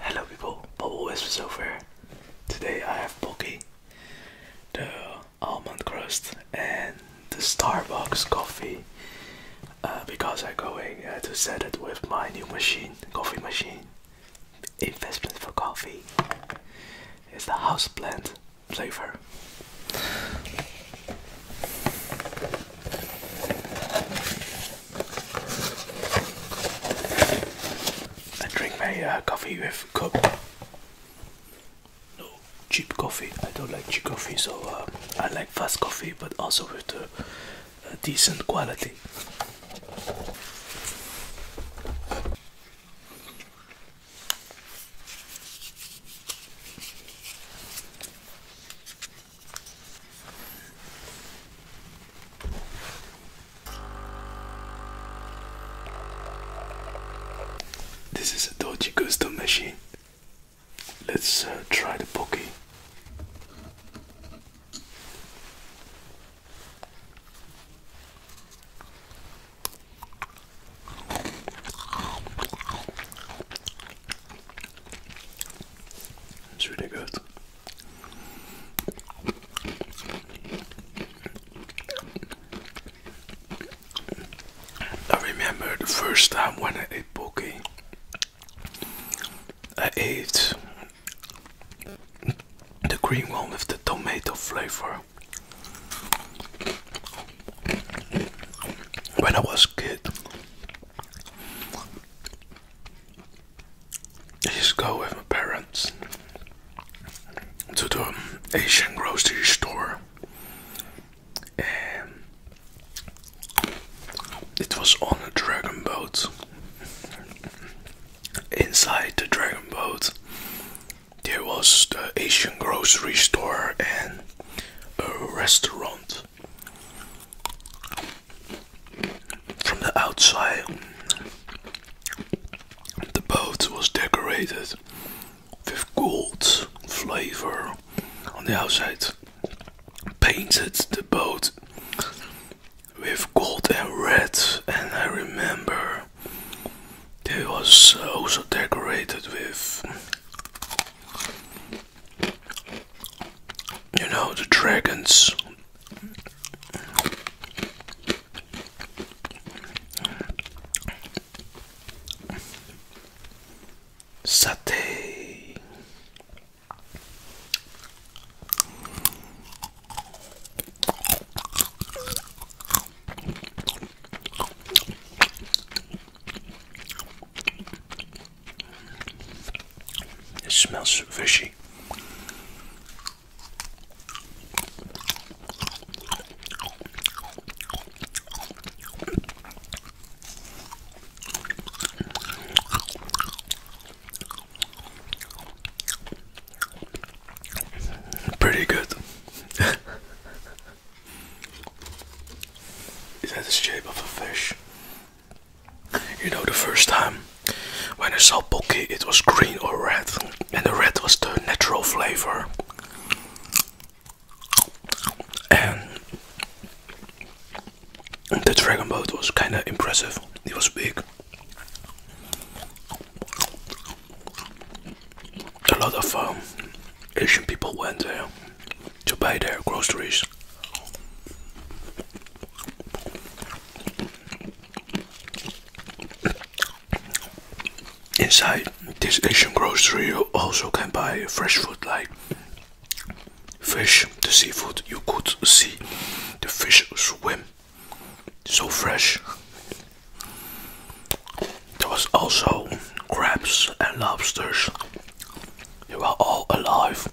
Hello people, Bubble Wisps over. Today I have Pocky, the almond crust and the Starbucks coffee uh, because I'm going uh, to set it with my new machine, coffee machine. Investment for coffee. is the house houseplant flavor. I drink my uh, coffee with cup. No cheap coffee. I don't like cheap coffee, so uh, I like fast coffee, but also with the uh, decent quality. This is a dodgy custom machine. Let's uh, try the Pocky. It's really good. I remember the first time when I ate poke. I ate the green one with the tomato flavor. When I was kid, I used go with my parents to an um, Asian grocery store, and um, it was on a dragon boat. Inside the dragon boat, there was the Asian grocery store and a restaurant. From the outside, the boat was decorated with gold flavor on the outside. Painted the boat with gold and red, and I remember it was also decorated with you know, the dragons. Satay. It smells fishy. Pretty good. It had the shape of a fish. You know, the first time when I saw Pocky, it was green or red, and the red was the natural flavor. And the dragon boat was kind of impressive, it was big. A lot of fun. Um, Asian people went there to buy their groceries. Inside this Asian grocery, you also can buy fresh food like fish, the seafood. You could see the fish swim, so fresh. There was also crabs and lobsters. They were all alive.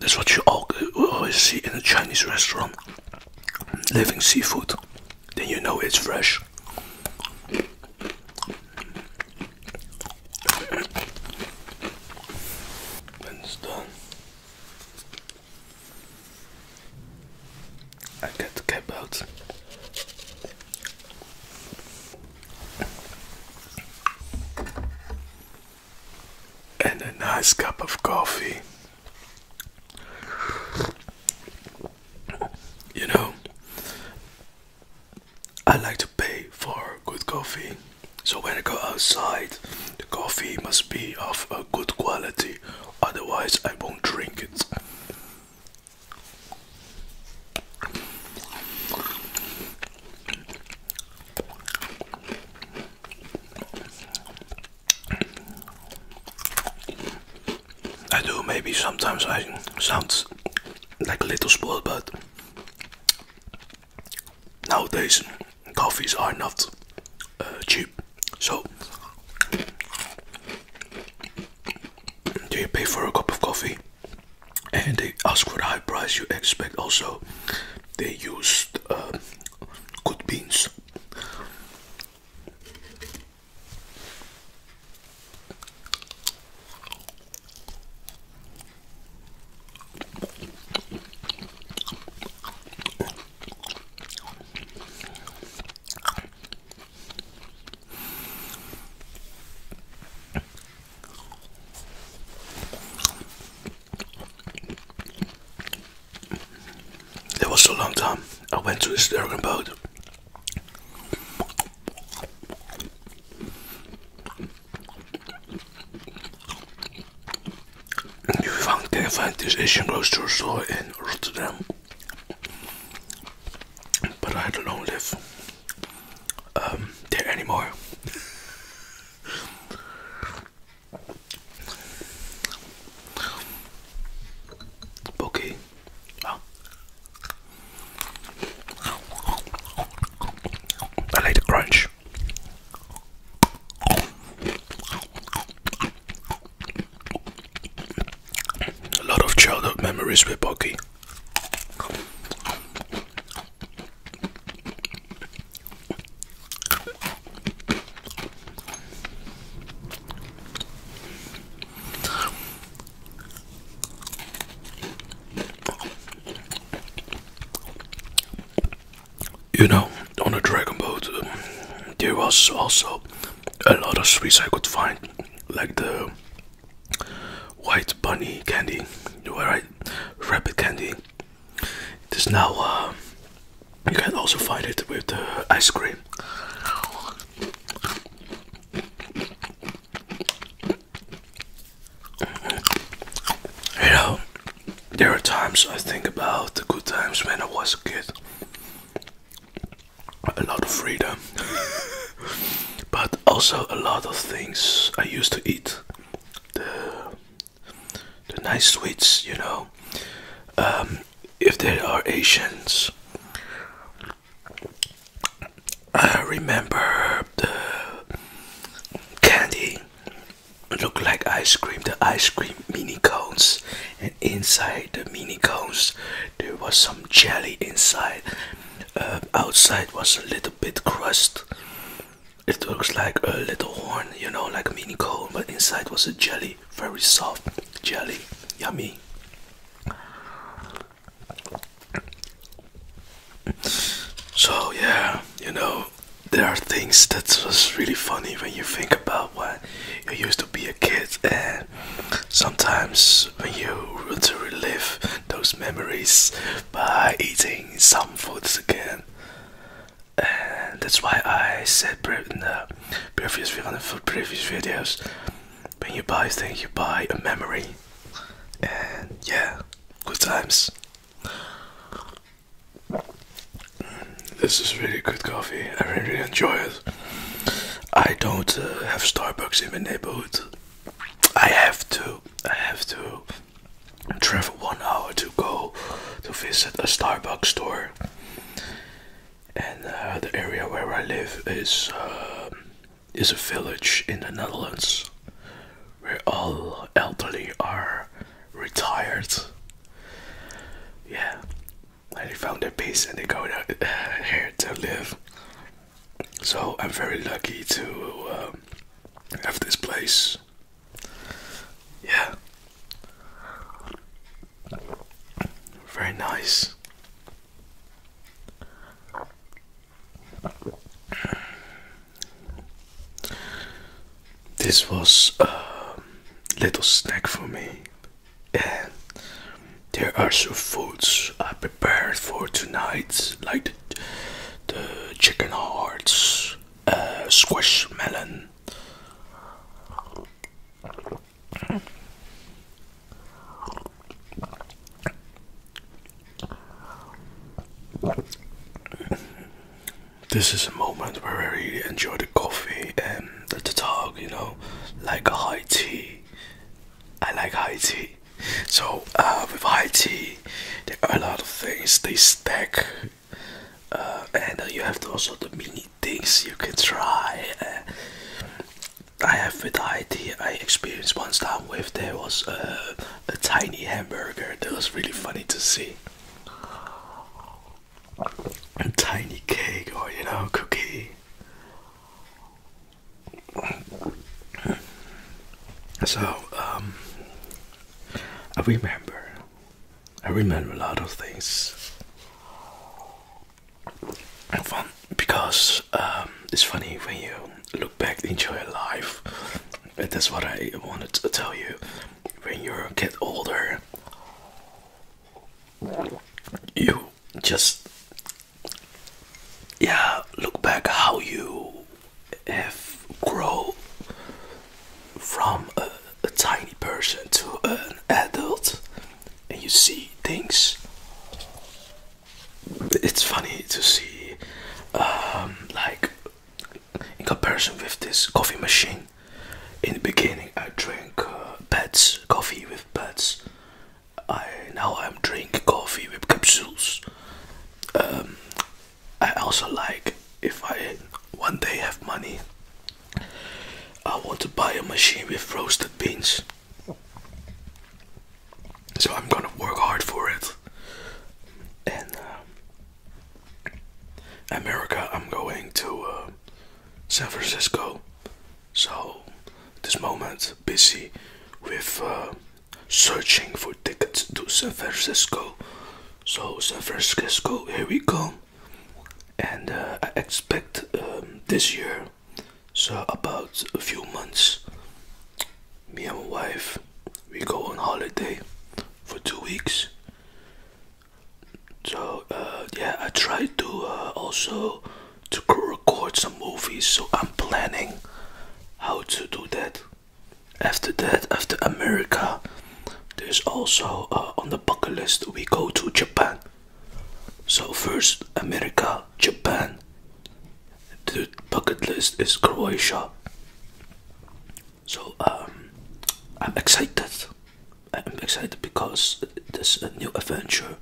That's what you always see in a Chinese restaurant. Living seafood. Then you know it's fresh. I got to cat belts. And a nice cup of coffee. You know, I like to pay for good coffee. So when I go outside, the coffee must be of a good quality, otherwise, I won't drink it. I do, maybe sometimes I sound like a little spoiled, but nowadays coffees are not uh, cheap. So, do you pay for a cup of coffee? And they ask for the high price you expect. Also, they use uh, good beans. It was a long time. I went to this dragon boat. You can find this Asian grocery store in Rotterdam, but I don't live um, there anymore. Okay. Ah. I like the crunch. A lot of childhood memories with Pocky you know, on a dragon boat, um, there was also a lot of sweets I could find, like the white bunny candy, right? Rabbit candy. It is now, uh, you can also find it with the ice cream. You know, there are times I think about the good times when I was a kid. A lot of freedom, but also a lot of things I used to eat. The, the nice sweets, you know. Um, if there are Asians, I remember the candy look like ice cream the ice cream mini cones and inside the mini cones there was some jelly inside uh, outside was a little bit crust it looks like a little horn you know like mini cone but inside was a jelly very soft jelly yummy so yeah you know there are things that was really funny when you think about when you used to be a kid and sometimes when you want to relive those memories by eating some foods again and that's why I said in the previous video, for previous videos when you buy things you buy a memory and yeah good times this is really good coffee. I really, enjoy it. I don't uh, have Starbucks in my neighborhood. I have to. I have to travel one hour to go to visit a Starbucks store. And uh, the area where I live is uh, is a village in the Netherlands where all elderly are retired. Yeah, and they found their peace and they go to, uh, here to live. So I'm very lucky to um, have this place. Yeah, very nice. This was a little snack for me, and there are some foods I prepared for tonight, like the, chicken hearts, uh, squash melon. This is a moment where I really enjoy the coffee and the talk, you know, like a high tea. I like high tea. So uh, with high tea, there are a lot of things they stack, uh, and you have also the mini things you can try. Uh, I have with high tea. I experienced once time come with there was a, tiny hamburger that was really funny to see. A tiny cake or you know cookie. So um, I remember. I remember a lot of things. And one because um, it's funny when you look back, enjoy life. And that's what I wanted to tell you. When you get older, you just yeah look back how you have grown from a tiny person to an adult, and you see things it's funny to see um, like in comparison with this coffee machine in the beginning I drank uh, coffee with beds I now I'm drinking coffee with capsules um, I also like if I one day have money I want to buy a machine with roasted beans so I'm gonna work hard for it. And uh, America, I'm going to uh, San Francisco. So this moment busy with uh, searching for tickets to San Francisco. So San Francisco, here we go. And I expect um, this year so about a few months, me and my wife, we go on holiday for two weeks. So uh, yeah, I try to uh, also to record some movies. So I'm planning how to do that. After that, after America, there's also uh, on the bucket list we go to Japan. So first America, Japan. The bucket list is Croatia. So um, I'm excited. I'm excited because there's a new adventure.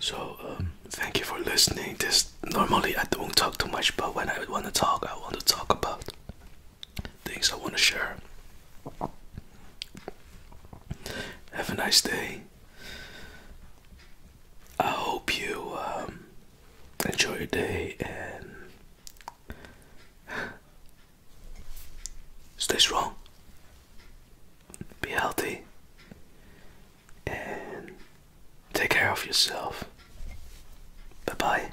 So um, thank you for listening. This normally I don't talk too much, but when I want to talk, I want to talk about things I want to share. Have a nice day. I hope you um, enjoy your day and stay strong, be healthy, and take care of yourself. Bye bye.